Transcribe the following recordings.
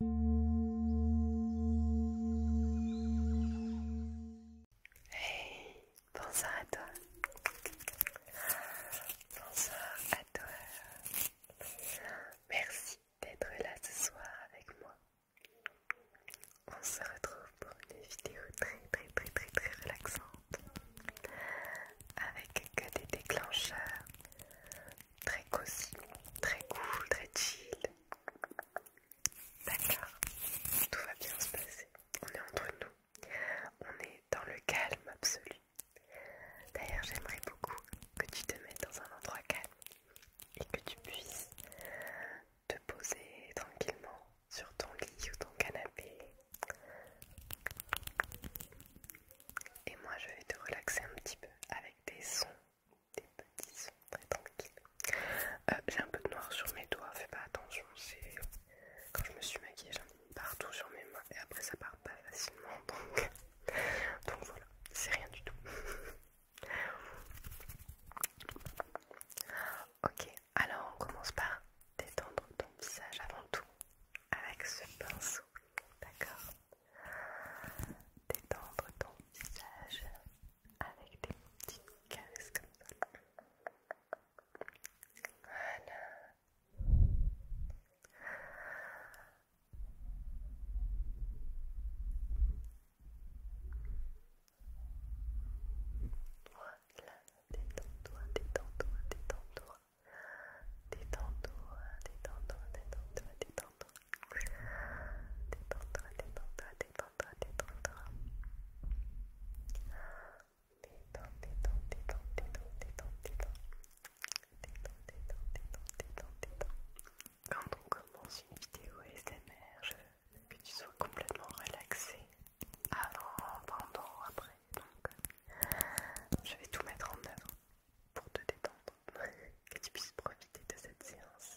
Hey, bonsoir à toi. Bonsoir à toi. Merci d'être là ce soir avec moi. On se retrouve pour une vidéo très très très très très relaxante avec que des déclencheurs très cosy, très cool, très chill. D'accord, tout va bien se passer. On est entre nous, on est dans le calme absolu. D'ailleurs, j'aimerais beaucoup que tu te mettes dans un endroit calme et que tu puisses te poser tranquillement sur ton lit ou ton canapé. Et moi, je vais te relaxer un petit peu avec des sons des petits très tranquilles. Euh, j'ai un peu de noir sur mes doigts, fais pas attention. c'est Quand je me suis maquillée, j'en ai partout sur mes mains et après ça part pas facilement donc voilà, c'est rien du tout. ok, alors on commence par détendre ton visage avant tout avec ce pinceau, d'accord détendre ton visage avec des petites caresses comme ça. Voilà, détends-toi, détends-toi, détends-toi. Détends-toi, détends-toi, détends-toi, détends-toi. Détends-toi, détends-toi, détends-toi, détends-toi. Détends, détends, détends, détends, détends, détends. Détends, détends, détends, détends, détends. Quand on commence une vidéo SMR, je veux que tu sois complètement relaxé avant, pendant, après. Donc, euh, je vais tout mettre en œuvre pour te détendre, que tu puisses profiter de cette séance.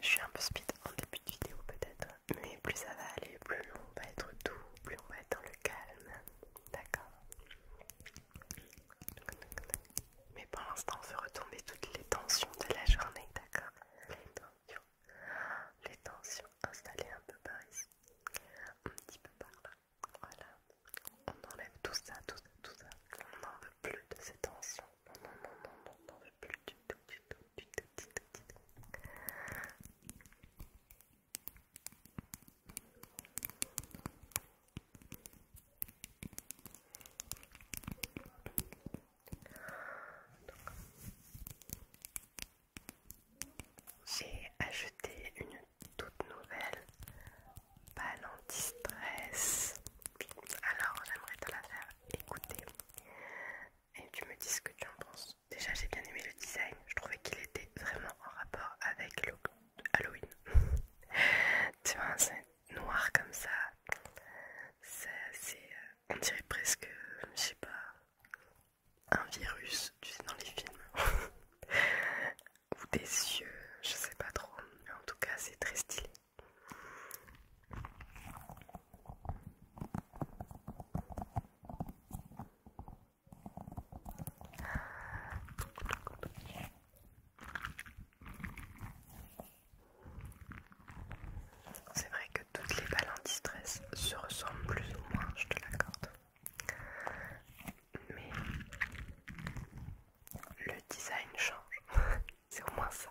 Je suis un peu speed en début de vidéo peut-être, mais plus ça va aller, plus on va être doux, plus on va être dans le calme, d'accord mais pour l'instant, on veut retomber toutes les tensions de la journée, d'accord les tensions installées un peu par ici, un petit peu par là. Voilà, on enlève tout ça, tout ça, tout ça. On n'en veut plus de ces tensions. Non, non, non, non, on n'en veut plus du tout, du tout, du tout, du tout, du tout. J'ai acheté une toute nouvelle balle anti-stress. Alors j'aimerais te la faire écouter et tu me dis ce que tu en penses. Déjà j'ai bien aimé le design, je trouvais qu'il était vraiment en rapport avec le Halloween. tu vois, c'est noir comme ça. ça c'est, euh, on dirait presque, je sais pas, un virus, tu sais, dans les films, ou des yeux, je sais pas trop, mais en tout cas, c'est très stylé. C'est vrai toutes les balles en se ressemblent plus ou moins, je te l'accorde. Mais le design change, c'est au moins ça.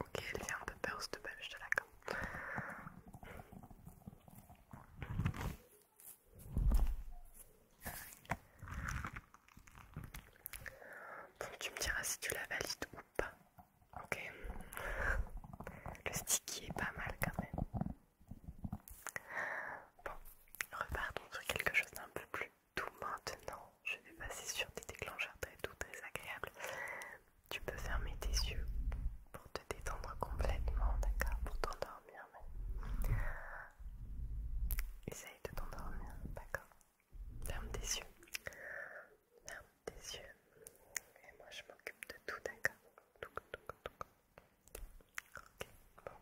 Ok, elle fait un peu peur cette belle, je te l'accorde. Bon, tu me diras si tu la valides ou pas. Ok, le sticky est pas mal quand même. Bon, repartons sur quelque chose d'un peu plus doux maintenant. Je vais passer sur des déclencheurs très doux, très agréables. Tu peux fermer tes yeux pour te détendre complètement, d'accord Pour t'endormir même. Essaye de t'endormir, d'accord Ferme tes yeux des tes yeux et moi je m'occupe de tout, d'accord tout, tout, Ok, bon,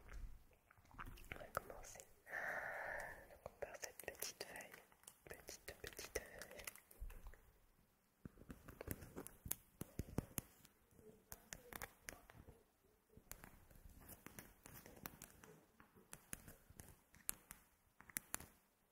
on va commencer. Donc on part cette petite feuille, petite, petite feuille.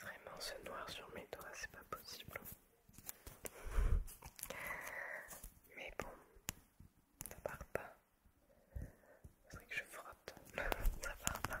Vraiment, ce noir sur mes doigts, c'est pas possible. Mais bon, ça part pas. C'est vrai que je frotte, ça part pas. Hein.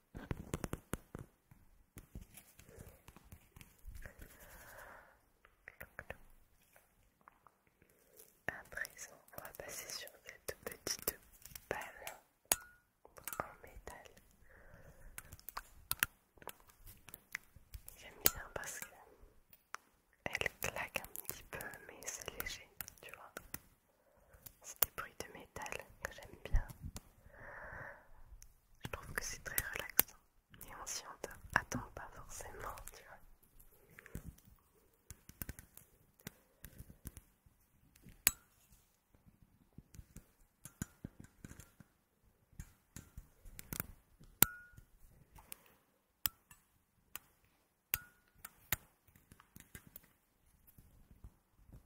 À présent, on va passer sur cette petite balle en métal. J'aime bien parce qu'elle claque un petit peu, mais c'est léger, tu vois. C'est des bruits de métal que j'aime bien. Je trouve que c'est très relaxant. Et on s'y attend pas forcément, tu vois.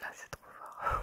Là, c'est trop fort.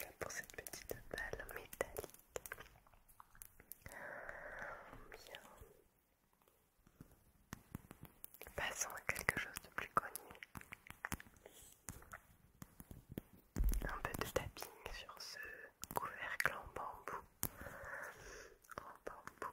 Là pour cette petite balle métallique. Bien. Passons à quelque chose de plus connu. Un peu de tapping sur ce couvercle en bambou. En bambou.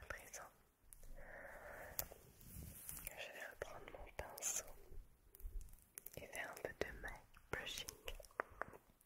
À présent, je vais reprendre mon pinceau et faire un peu de maille brushing.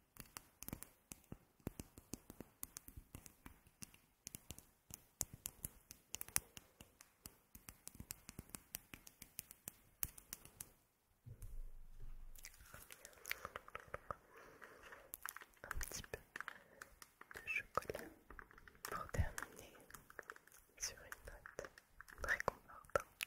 Un petit peu de chocolat pour terminer sur une note très confortante.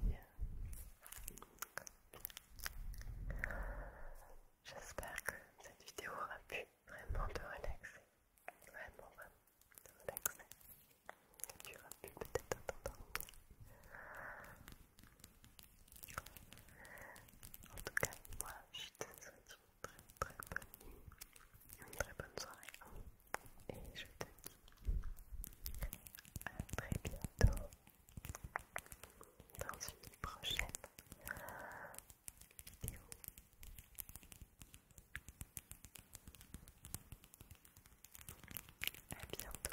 Bien. J'espère que cette vidéo aura pu vraiment te relaxer. Vraiment, vraiment te relaxer. Et tu auras pu peut-être t'entendre. En tout cas, moi, je te souhaite une très très bonne nuit, une très bonne soirée et je te dis à très bientôt dans une prochaine vidéo. À bientôt.